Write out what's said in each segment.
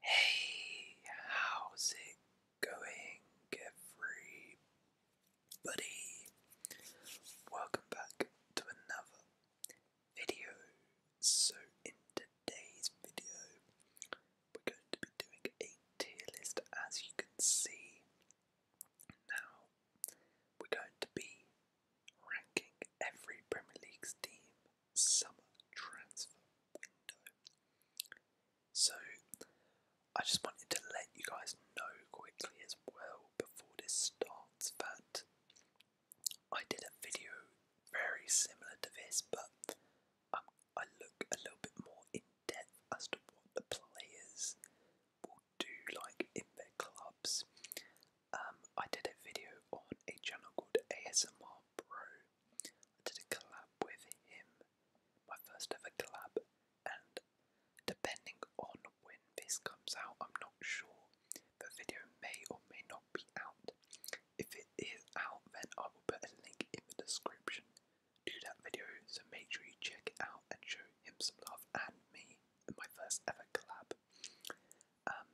Hey, how's it going, everybody? Welcome back to another video. So, in today's video, we're going to be doing a tier list as you can see. Now, we're going to be ranking every Premier League's team summer transfer window. So, I just wanted to let you guys know quickly as well before this starts that I did a video very similar to this, but um, I look a little bit more in depth as to what the players will do, like in their clubs. Um, I did a video on a channel called ASMR Bro. I did a collab with him, my first ever collab, and depending on when this comes out, I'm not sure. The video may or may not be out. If it is out, then I will put a link in the description to that video, so make sure you check it out and show him some love and me, in my first ever collab. Um,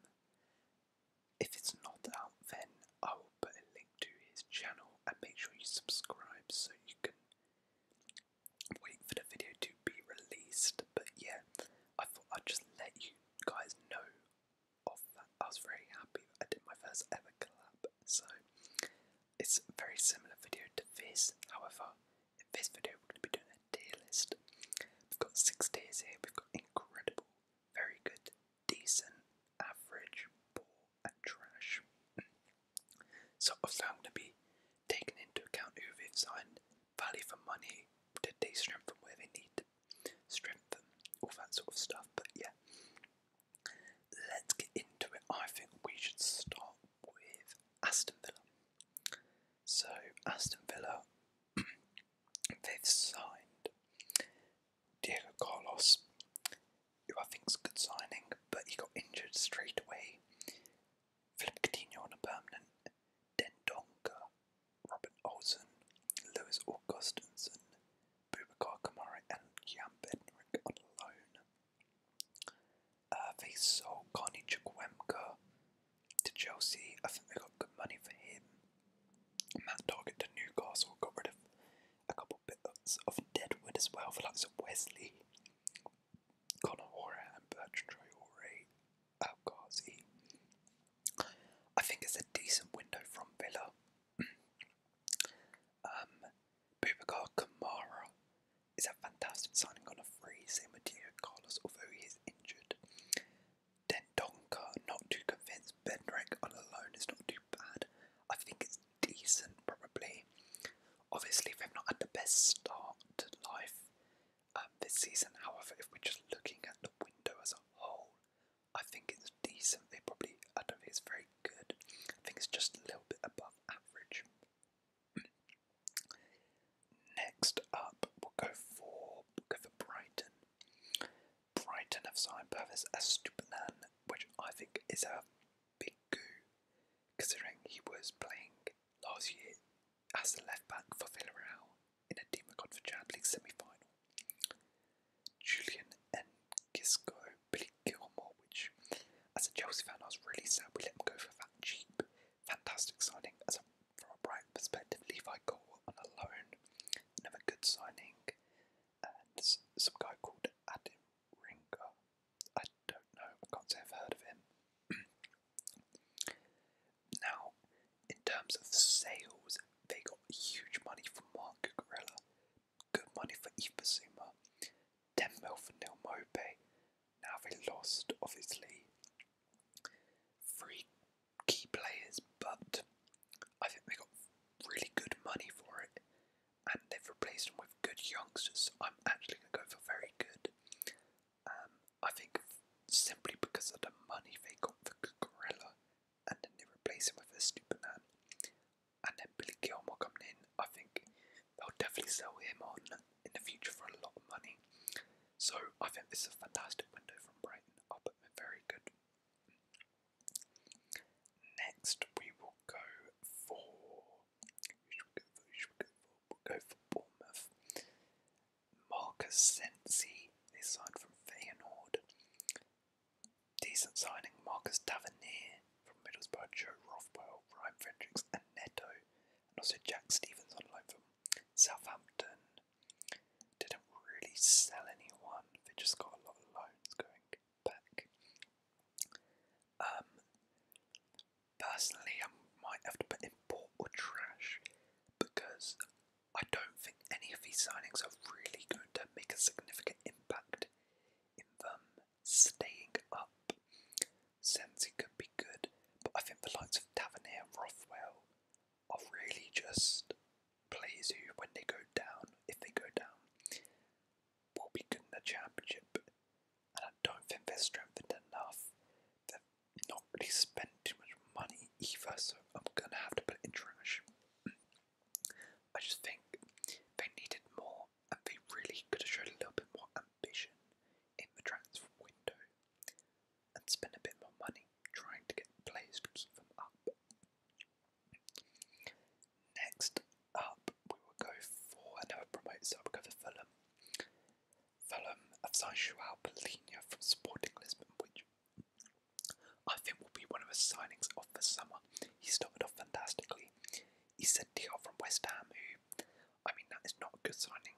if it's not out, then I will put a link to his channel and make sure you subscribe so you can wait for the video to be released. But yeah, I thought I'd just let you guys know of that. I was very happy that I did my first ever collab. So it's a very similar video to this. However, in this video we're going to be doing a tier list. We've got six tiers here. We've got incredible, very good, decent, average, poor, and trash. sort of so I'm going to be taking into account who they've signed, value for money, did they from where they need strength strengthen, all that sort of stuff. But yeah, let's get into it. I think we should start with Aston Villa. So Aston Villa They've signed Diego Carlos, I think it's a good signing, but he got injured straight away. Philip Coutinho on a permanent, Dendonka, Robert Olsen, Lewis Augustinson, Bubakar Kamara, and Jan Bednarik on loan. Uh, they sold Carney Chukwemka to Chelsea. I think they got good money for him. Matt Doggett to Newcastle got rid of a couple bits of Deadwood as well for likes of Wesley, Conor Horan, Bertrand Traore, Al I think it's a decent window from Villa. um, Bubakar Kamara is a fantastic signing on a free, same with Diego Carlos, although he is injured. Dendonka, not too convinced. Bendrek on a loan is not too bad. I think it's decent, probably. Obviously, they've not had the best start to life um, this season. However, if we're just looking at the window as a whole, I think it's decent. They probably, I don't think it's very good. I think it's just a little bit above average. Next up, we'll go for, we'll go for Brighton. Brighton have signed stupid man, which I think is a big coup, considering he was playing last year as the left back for Villarreal in a Dima Godfrey Chad League semi final. Julian and Gisco Billy Gilmore, which as a Chelsea fan, I was really sad we let him go for that cheap. Fantastic signing as a, from a Brighton perspective. Levi Cole on a loan Another good signing, and some guy called Adam Ringer. I don't know, I can't say I've heard of him. now, in terms of sales, they got huge money from Mark Cucurella, good money for Ibasuma, 10 mil for Neil Mope. Now they lost, obviously. Three key players, but I think they got really good money for it, and they've replaced them with good youngsters. I'm actually going to go for very good. Um, I think simply because of the money they got for Gorilla, and then they replace him with a stupid man, and then Billy Gilmore coming in. I think they'll definitely sell him on in the future for a lot of money. So I think this is a fantastic window from Brighton. I'll put them very good. Next, we will go for. Should we go for? We'll go for Bournemouth. Marcus Sensi, they signed from Feyenoord. Decent signing, Marcus Tavernier from Middlesbrough, Joe Rothwell, Ryan Fredericks, and Neto, and also Jack Stevens on loan from Southampton didn't really sell anyone, they just got a lot of loans going back. Um, personally, I might have to put import or trash because I don't think any of these signings are really going to make a significant impact in them staying up. Sensi could be good, but I think the likes of Tavernier and Rothwell of really just players who, when they go down, if they go down, will be good in the championship. And I don't think they're strengthened enough. They've not really spent too much money either, so I'm gonna have to put it in trash. I just think they needed more, and they really could have showed a little bit more ambition in the transfer window and spend a bit more money trying to get players to keep them up. Next up, we will go for another promotion. so we'll go for Fulham. Fulham have signed Joao Polina from Sporting Lisbon, which I think will be one of the signings of the summer. He started off fantastically. He's a deal from West Ham, who, I mean, that is not a good signing.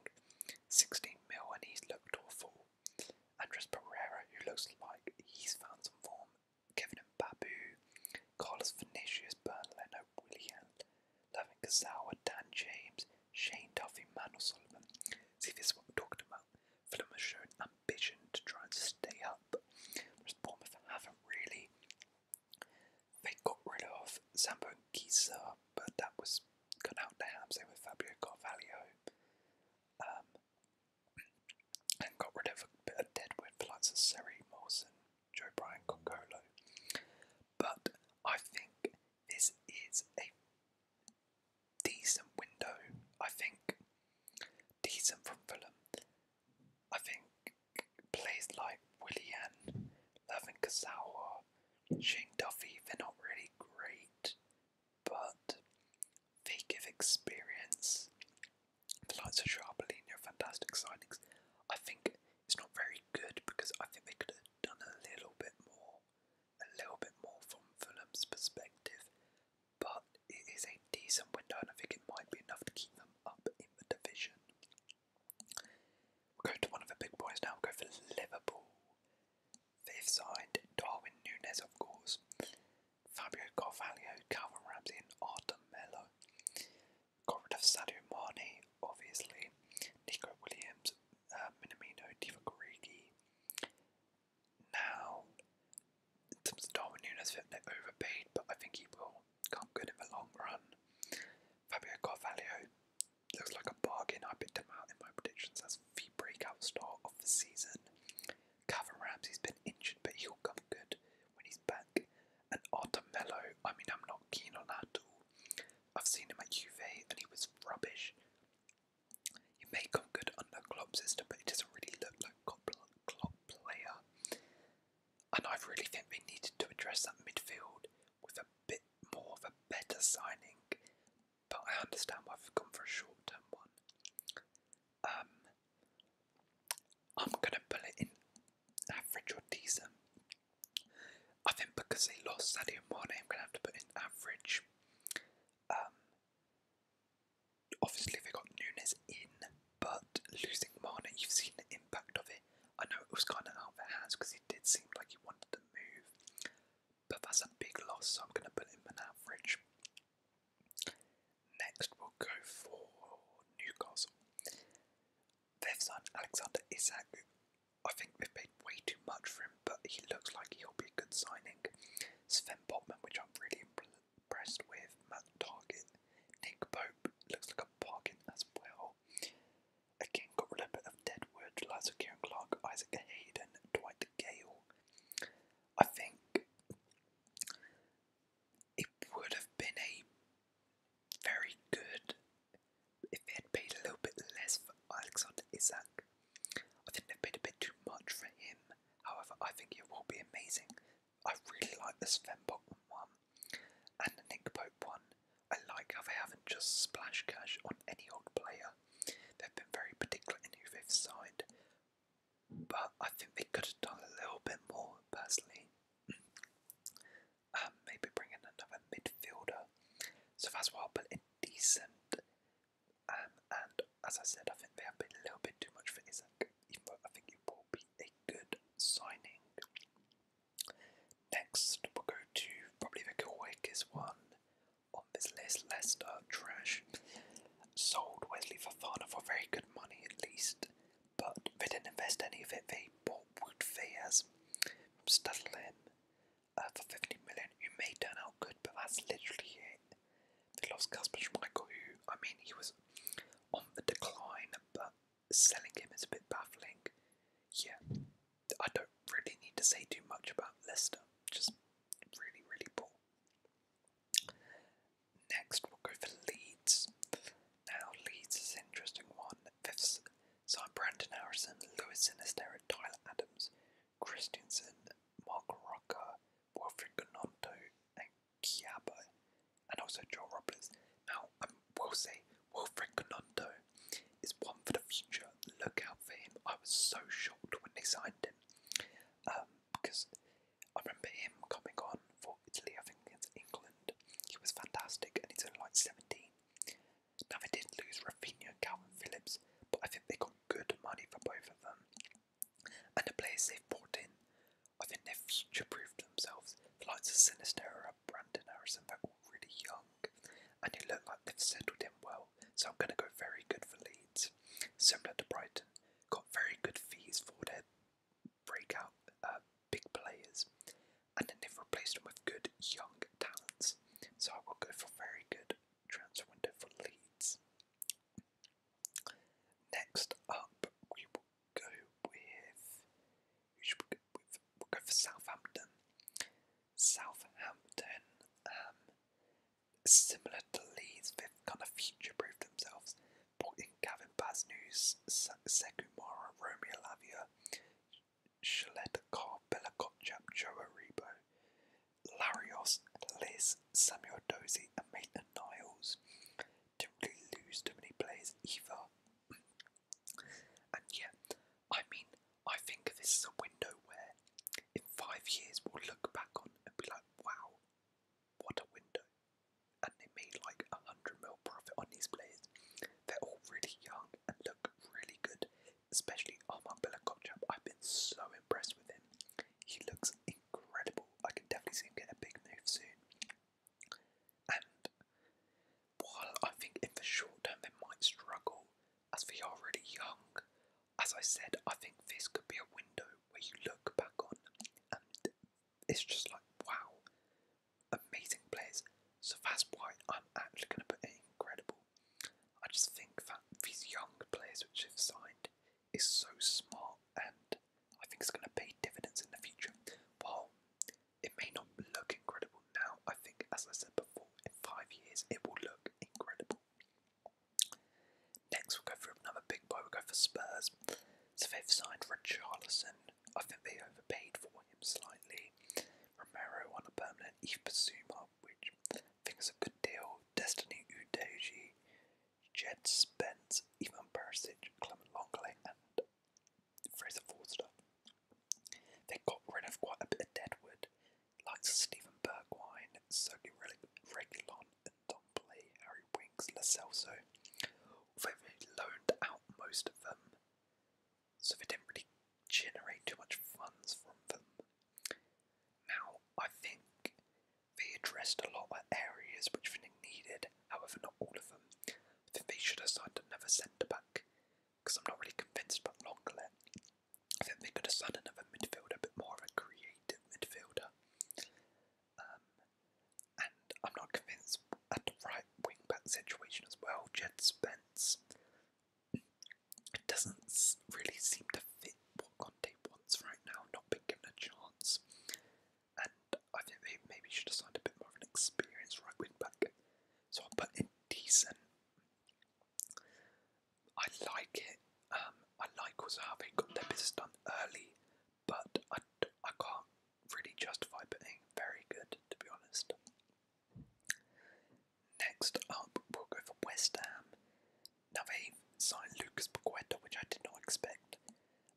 16 mil, and he's looked awful. Andres Pereira, who looks like he's found some form, Kevin Mbabu, Carlos Vinicius, Bern Leno, William, Levin Kazawa, Dan James, Shane Duffy, Manuel Sullivan. See, this is what we're talking about. Fulham has shown ambition to try and stay up, whereas haven't really. They got rid of Sambo and Giza, but that was cut out to Hamza with Fabio Carvalho um, and got rid of a bit of deadwood for likes of Seri Mawson, Joe Bryan, Cocolo. But I think this is a decent window. I think decent from Fulham. I think players like Willian, Levin Kasawa, Shane Duffy, they're not really great but they give experience. The likes of Sharpolini are fantastic signings. I think it's not very good because I think they could have done a little bit more, a little bit more from Fulham's perspective, but it is a decent window and I think it might be enough to keep them up in the division. we are going to one of the big boys now, we are going for Liverpool. Fifth signed Darwin Nunez of course, Fabio Carvalho, Calvin Ramsey, and Artem Mello. Got of Sadio Mane, obviously, Nico Williams, uh, Minamino, Diva Gorigi. Now, in terms of Darwin Nunes, they overpaid, but I think he will come good in the long run. Fabio Carvalho looks like a bargain. I picked him out in my predictions as the breakout star of the season. Calvin Ramsey's been injured, but he'll come good when he's back. And Mello, I mean, I'm not keen on that at all. I've seen him at Juve and he was rubbish. He may come good under Klopp's system, but it doesn't really look like Klopp, club player. And I really think we needed to address that midfield with a bit more of a better signing but I understand why I've gone for a short term one. Um, I'm gonna put it in average or decent. I think because they lost Sadio Mane, I'm gonna have to put in average. Um, obviously they got Nunes in, but losing Mane, you've seen the impact of it. I know it was kind of out of their hands because he did seem like he wanted to move, but that's a big loss, so I'm going to put him an average. Next, we'll go for Newcastle. They've Alexander Isak. I think they've paid way too much for him, but he looks like he'll be a good signing. Sven Botman, which I'm really impressed with. Matt Target. Nick Pope looks like a bargain as well. Again, got rid of a bit of dead Deadwood, Liza Kieran Clark, Isaac Hayden, Dwight to I think it would have been a very good if they had paid a little bit less for Alexander Isak. I think they paid a bit too much for him. However, I think it will be amazing. I really like the Sven one and the Nick Pope one. I like how they haven't just splashed cash on any old player. They've been very particular in who they've signed, but I think they could have done a little bit more personally. um, maybe bring in another midfielder. So that's why I'll put in decent. Um, and as I said, I think they have been a little bit too much for Isaac, even though I think it will be a good signing. Next, we'll go to probably the quickest one on this list. Leicester, trash. Sold Wesley Fofana for very good money at least, but they didn't invest any of it. They bought Wood Fayez from uh, for 50 million, You may turn out good, but that's literally it. They lost Casper Schmeichel, who, I mean, he was on the decline, but selling him is a bit baffling. Yeah, I don't really need to say too much about Leicester, just really, really poor. Next, we'll go for Leeds. Now, Leeds is an interesting one. Fifths sign Brandon Harrison, Lewis Sinister, Tyler Adams, Christiansen, Mark Rocker, Wilfred Gononto, and Kiaba, and also Joe Robles. Now, I will say Wilfred Gononto is one for the future. Look out for him. I was so shocked when they signed him um, because I remember him coming on for Italy, I think against England. He was fantastic and he's only like 17. Now they did lose Rafinha and Calvin Phillips, but I think they got good money for both of them. And the players they've brought in, I think they've future proofed themselves. The likes of Sinistera, Brandon Harrison, they're all really young and it looked like they've settled in well, so I'm going to go very good for Leeds. Similar to Brighton, got very good fees for their breakout uh, big players, and then they've replaced them with good young talents. So I will go for very good transfer window for Leeds. Next up, we will go with? We'll go for Southampton. Southampton, um, similar to Leeds, fifth kind of future proofed themselves. Brought in Gavin Basnews, Sekumara, Romeo Lavia, Shaletakar, Belakotchap, Joe Aribo, Larios, Liz, Samuel Dozy, and Maitland Niles. did lose too many players either. and yeah, I mean, I think this is a window where in five years we'll look back on and be like, wow, what a window. And they made like a hundred mil profit on these players. They're all really young and look really good, especially Armand Bilakopchap. I've been so impressed with him. He looks incredible. I can definitely see him get a big move soon. And while I think in the short term they might struggle, as for you're really young, as I said, I think this could be a window where you look back on and it's just like, wow, amazing players. So that's why I'm actually going to put it incredible. I just think that these young players which have signed is so smart and I think it's going to pay dividends in the future. While it may not look incredible now, I think, as I said before, in five years it will look incredible. Next, we'll go for another big boy. we go for Spurs. So they've signed Richarlison. I think they overpaid for him slightly. Romero on a permanent. Eve Basuma, which I think is a good deal. Destiny Udoji, Jed Spence, Ivan Perisic, Clement Longley, and Fraser Forster. They got rid of quite a bit of dead wood. Likes of Stephen Bergwine, Sony Regulon, and Don Play, Harry Winks, Lacelso, they've loaned out most of them, so they didn't really generate too much funds from them. Now, I think they addressed a lot of areas which they needed, however, not all of them. I think they should have signed another centre back, because I'm not really convinced about Longlet. I think they could have signed another midfielder, a more of a creative midfielder. Um, and I'm not convinced at right wing back situation as well. Jed Spence it doesn't really seem to fit what Conte wants right now. Not been given chance, and I think they maybe should have signed a bit more of an experienced right wing back. So I'll put in decent. I like it. Um, I like also how they got their business done early, but I, I can't really justify being very good, to be honest. Next up, we'll go for West Ham. Now they signed Lucas Paqueta, which I did not expect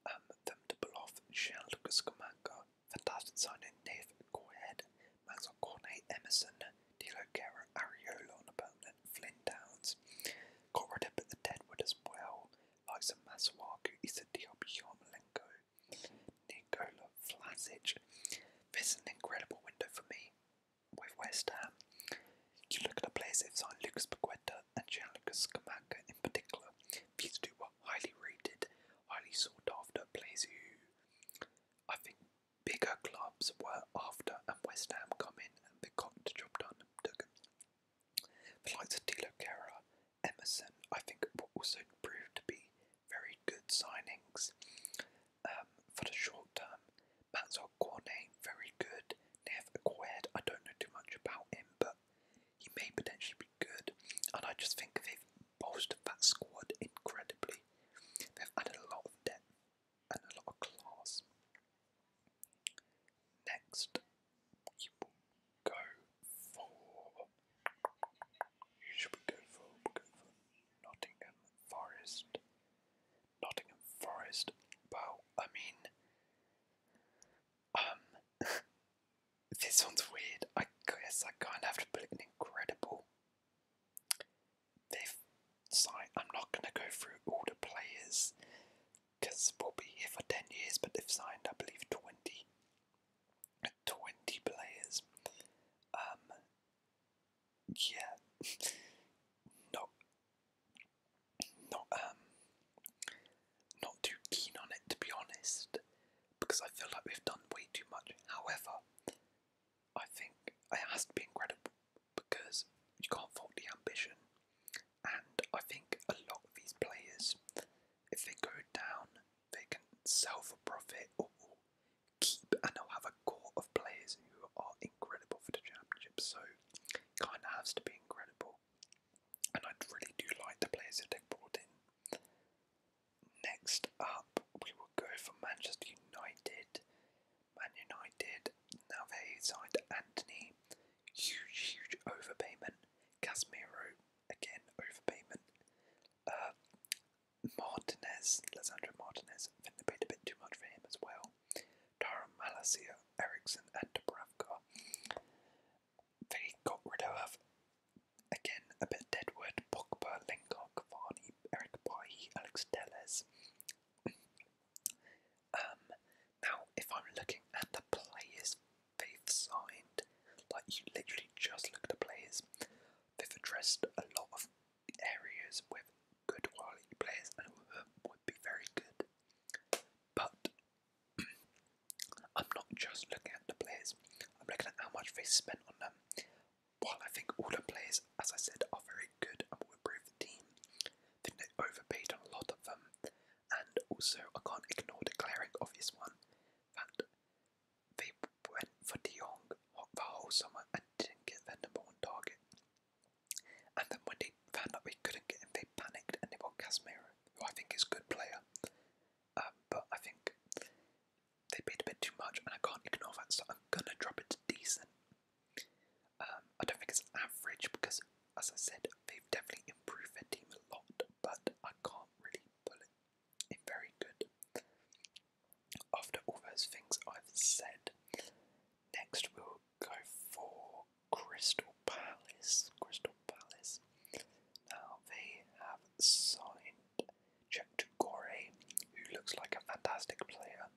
um, them to pull off. Jean Lucas Comanca, fantastic signing. They've go ahead, Mazel Cornet, Emerson, Dilo Guerra, Ariola on opponent, Flynn Downs. Got rid of the Deadwood as well, like some Masawaku, Isadiop, Yarmolenko, Nikola Vlasic. This is an incredible window for me with West Ham. You look at the players it's on Lucas Paqueta and Lucas Scamacca in particular. These two are highly rated, highly sought after players who I think Bigger clubs were after, and West Ham come in and they got the job done. The likes of Tilo Guerra, Emerson, I think will also proved to be very good signings um, for the short term. Mansell Cornet, very good. Nev Agued, I don't know too much about him, but he may potentially be good. And I just think they've bolstered that squad incredibly They've added a lot of depth and a lot of class. Next, you will go for. Should go for, we'll go for Nottingham Forest? Nottingham Forest. Well, I mean, um, this one's weird. I guess I kind of have to put an incredible Fifth I'm not going to go through all the players because we'll be here for 10 years, but they signed, I believe, 20, players. Um, yeah, not, not, um, not too keen on it to be honest, because I feel like we've done way too much. However, I think it has to be incredible because you can't fault the ambition. And I think a lot of these players, if they go down, they can sell for profit or keep, and they'll have a core of players who are incredible for the championship. So it kind of has to be incredible. And I really do like the players that they've brought in. Next up, we will go for Manchester United. Man United, now they signed Anthony. Huge, huge overpayment. Casemiro, again, overpayment. Uh, Martinez, Lisandro Martinez, I think they paid a bit too much for him as well. Tyron Malasia, Ericsson, and Dubravka. They got rid of Again, a bit Deadwood, Pogba, Lingard, Cavani, Eric Bailly, Alex Telles. um, now, if I'm looking at the players they've signed, like you literally just look at the players, they've addressed a lot of areas with good quality players and would be very good. But I'm not just looking at the players, I'm looking at how much they spent on them. While I think all the players, as I said, are very good and will improve the team, I think they overpaid on a lot of them. And also, I can't ignore the glaring obvious one that they went for young Jong the whole summer and didn't get their number one target. And then when they found out they couldn't get him, they panicked and they bought Casimir, who I think is a good player. Um, but I think they paid a bit too much, and I can't ignore that, so I'm gonna drop it to decent. Um, I don't think it's average because, as I said, they've definitely improved their team a lot, but I can't really pull it in very good. After all those things I've said, next we'll go for Crystal Palace. Crystal Palace. Now they have signed Gore, who looks like a fantastic player.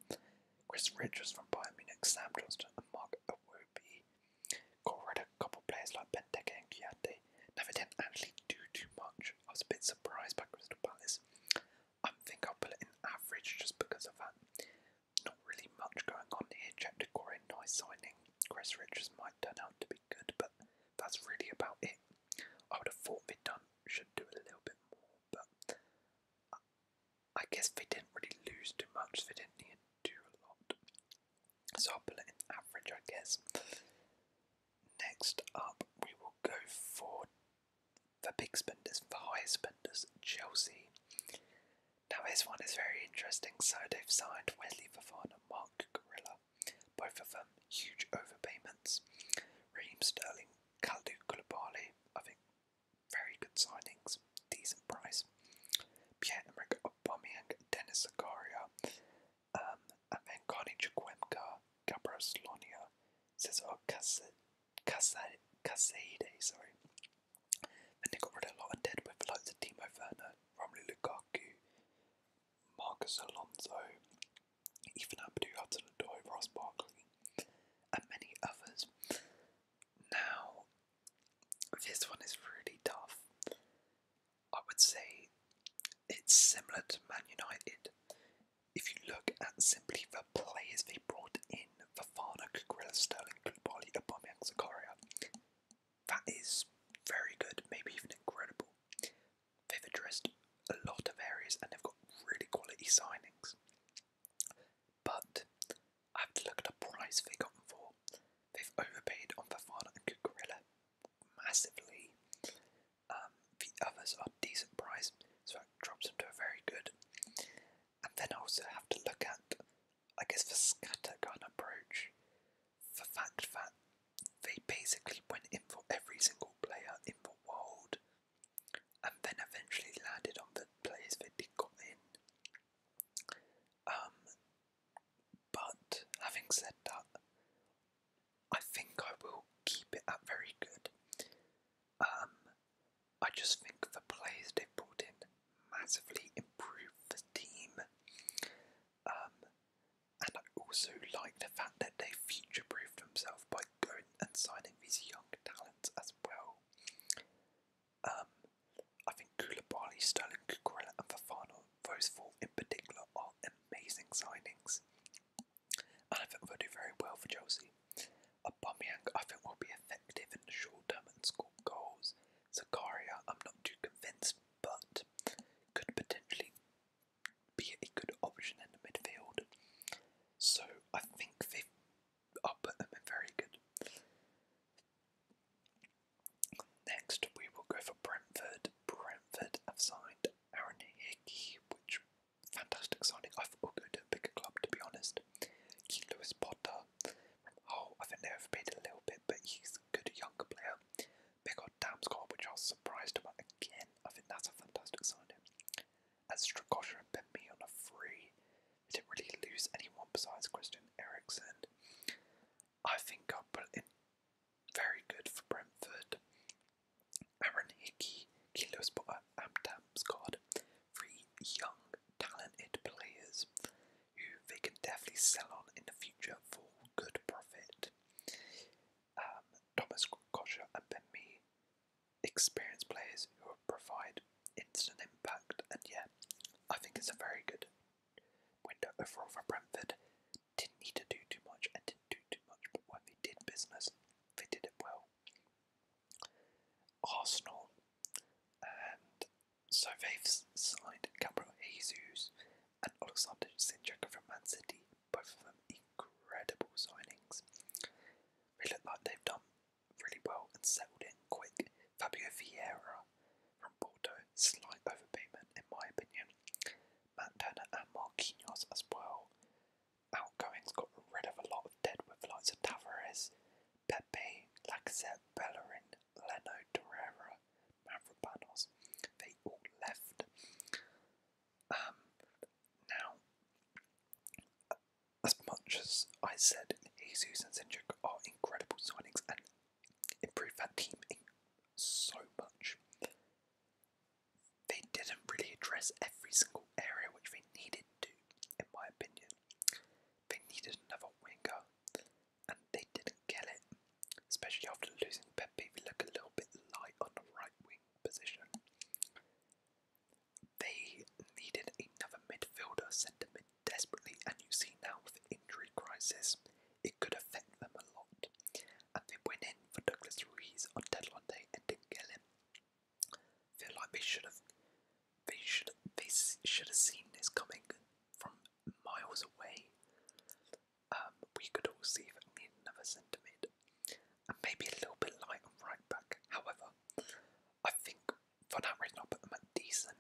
Chris Richards from Bayern Munich, Sam Johnston and Mark Awobi. Gore had a couple players like Benteke and Kiate. Never didn't actually do too much. I was a bit surprised by Crystal Palace. I think I'll put it in average just because of that. Not really much going on here. Check nice signing. Chris Richards might turn out to be good, but that's really about it. I would have thought they'd done, should do a little bit more, but I guess they didn't really lose too much, they didn't need to do a lot. So I'll put it in average, I guess. Next up, we will go for the big spenders, the highest spenders, Chelsea. Now, this one is very interesting. So, they've signed Wesley Fofana, Mark Gorilla, both of them huge overpayments. Raheem Sterling, Kaldu Koulibaly, I think very good signings, decent price. Pierre-Emerick Aubameyang, Dennis Zakaria, um, and then Carney Chukwemka, Gabriel Slonia, Cesar Casade, sorry. Then they got rid of a lot of dead with the likes of Timo Werner, Romelu Lukaku, Marcus Alonso, even Abdou Hudson Odoi, Ross Barkley, and many others. Now, this one is really tough. I would say it's similar to Man United. If you look at simply the players they brought in, Fafana, Kukurela, Sterling, Kulbali, Aubameyang, Zakaria, that is very good, maybe even incredible. They've addressed a lot of areas and they've got really quality signings. But I have to look at the price they got them for. They've overpaid on Fafana and Cucurella massively. Um, the others are decent price, so that drops them to a very good. And then I also have to look at, I guess, the scattergun approach. for fact that they basically went in for every single player in the world and then eventually landed on the players they did got in. Um, but having said that, I think I will keep it at very good. Um, I just think the players they brought in massively improved the team. Um, and I also like the fact that they future proofed themselves by going and signing these young talents as well. Um, I think Koulibaly, Sterling, Cucurella, and Fafana, those four in particular, are amazing signings. And I think they'll do very well for Chelsea. Aubameyang, I think, will be effective in the short term and score goals. Zakaria, I'm not too convinced, but could potentially be a good option in the midfield. So I think they, i put them in very good. Next, we will go for Brentford. Brentford have signed Aaron Hickey, which fantastic signing. I thought we'll a bigger club, to be honest. Key Lewis Potter. Oh, I think they overpaid a little bit, but he's good younger player. They got Damsgaard, which I was surprised about again. I think that's a fantastic signing. And Strakosha and Ben Me on a free. They didn't really lose anyone besides Christian Eriksen. I think I'll put it in very good for Brentford. Aaron Hickey, Kilo Spotter, and Damsgaard. Three young, talented players who they can definitely sell on in the future for good profit um, Thomas Kosher and Ben Mee, experienced players who provide instant impact. And yeah, I think it's a very good window overall for Brentford. Didn't need to do too much and didn't do too much, but when they did business, they did it well. Arsenal, and so they've signed Gabriel Jesus and Alexander Sinchek from Man City both of them incredible signings. They look like they've done really well and settled in quick. Fabio Vieira from Porto, slight overpayment in my opinion. Matt Turner and Marquinhos as well. Outgoings got rid of a lot of dead with the of Tavares, Pepe, Lacazette, Bellerin, Leno, Torreira, Mavropanos. They all left. Um, now, as much as I said, Jesus and Zindjic are incredible signings and improve that team so much. They didn't really address every single area which they needed to, in my opinion. They needed another winger, and they didn't get it especially after losing Pepe, we look a little bit light on the right wing position. They needed another midfielder, centre mid desperately, and you see now with injury crisis, it could affect them a lot. And they went in for Douglas Ruiz on deadline day and didn't get him. Feel like they should have, they should, they should have seen this coming from miles away um, we could all see that another centre and maybe a little bit light on right back. However, I think for that reason i put them at decent.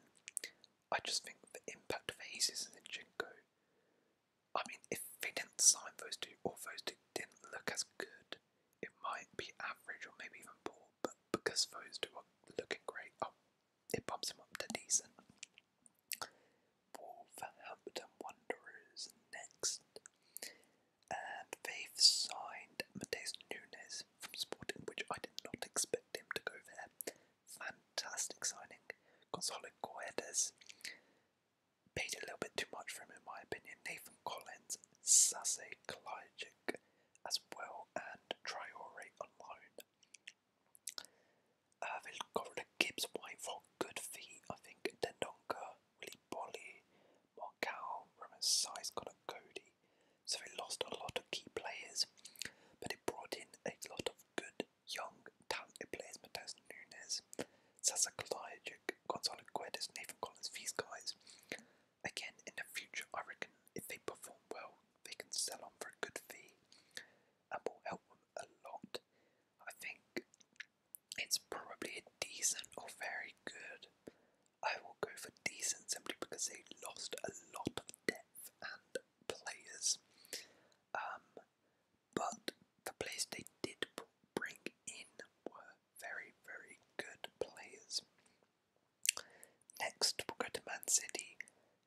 I just think the impact of Hazes and Zinchenko. I mean, if they didn't sign those two, or those two didn't look as good, it might be average or maybe even poor. But because those two are looking great, oh, it bumps them up to decent. Wolverhampton Wanderers next. And they've signed Mateus Nunes from Sporting, which I did not expect him to go there. Fantastic signing. Gonzalo Guedes. Paid a little bit too much for him, in my opinion. Nathan Collins, Sase Kalajic as well, and Triore on loan. Uh, they'll Gibbs White for good feet. I think Dendonka, Willie Bolly, Markow, Roman Size got a Cody. So they lost a lot of key players, but it brought in a lot of good, young, talented players. Mateus Nunes, Sasa Kalajic, Gonzalo Guedes, Nathan Collins, these guys. Again, in the future, I reckon if they perform well, they can sell on for a good fee. Apple help a lot. I think it's probably decent or very good. I will go for decent simply because they lost a lot of depth and players. Um, but the players they did bring in were very, very good players. Next, we'll go to Man City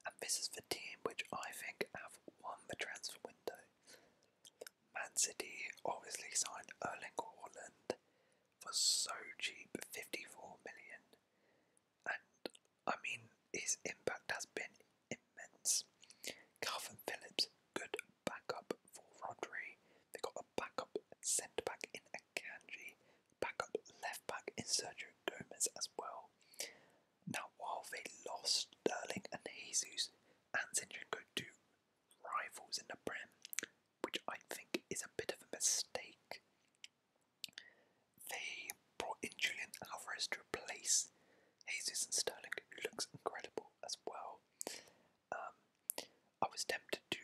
and this is the team which I think have won the transfer window. Man City obviously signed Erling Haaland for so cheap, 54 million. And I mean, his impact has been immense. Calvin Phillips, good backup for Rodri. They got a backup centre back in Akanji, backup left back in Sergio Gomez as well. Now, while they lost Sterling and Jesus and Zinchenko to rivals in the Prem, which I think is a bit of a mistake, they brought in Julian Alvarez to replace Jesus and Sterling, who looks incredible as well. Um, I was tempted to,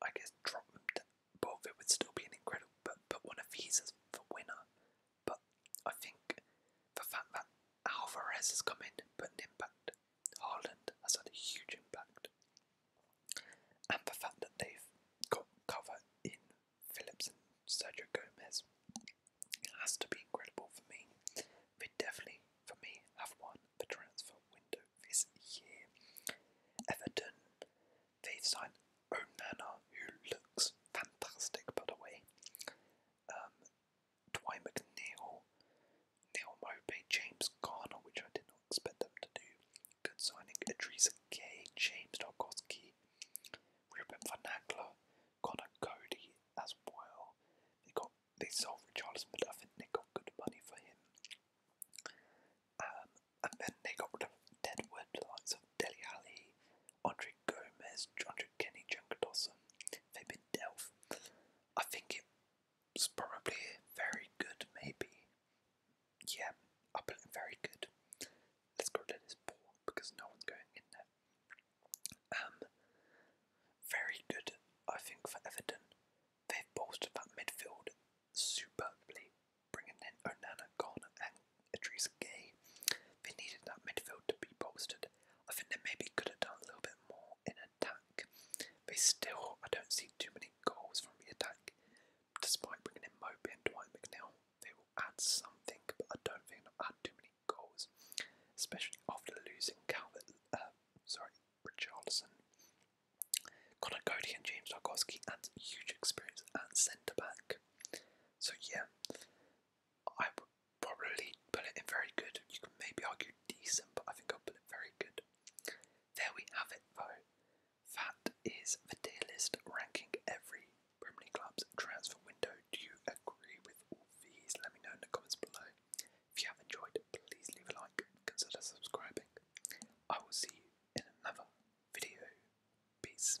I guess, drop them, but it would still be an incredible. But put one of these is the winner but I think the fact that Alvarez has come in put an impact, Haaland has had a huge impact, and the fact that they've got cover in Phillips and Sergio Gomez has to be incredible for me. They definitely, for me, have won the transfer window this year. Everton, they've signed Onana, who looks fantastic by the way um, Dwight McNeil, Neil Mopey, James Garner, which I did not expect them to do. Good signing. Idrissa Gay, James Dolgoski, Ruben Van Connor Cody as well. They got they sold Richarlison, but I they got good money for him. Um, and then they got rid of Deadwood, the of Deli Ali, Andre Gomez, Andre Kenny, Junker Dawson, Fabian Delph. I think it's probably very good, maybe. Yeah, I put it very good. Let's go to this ball because no one's going in there. Um, very good, I think, for Everton. They've bolstered that midfield superbly, bringing in Onana, Garner, and Idris Gay. They needed that midfield to be bolstered. I think they maybe could have done a little bit more in attack. They still, I don't see too many goals from the attack. Despite bringing in Moby and Dwight McNeil, they will add something, but I don't think they'll add too many goals, especially after losing Calvert, uh, sorry, Richardson. Conor Cody and James Dargoski, and huge experience at centre back. So yeah, I would probably put it in very good. You can maybe argue decent, but I think I'll put it very good. There we have it, though. That is the tier list ranking every Premier League club's transfer window. Do you agree with all these? Let me know in the comments below. If you have enjoyed, please leave a like, consider subscribing. I will see you in another video. Peace.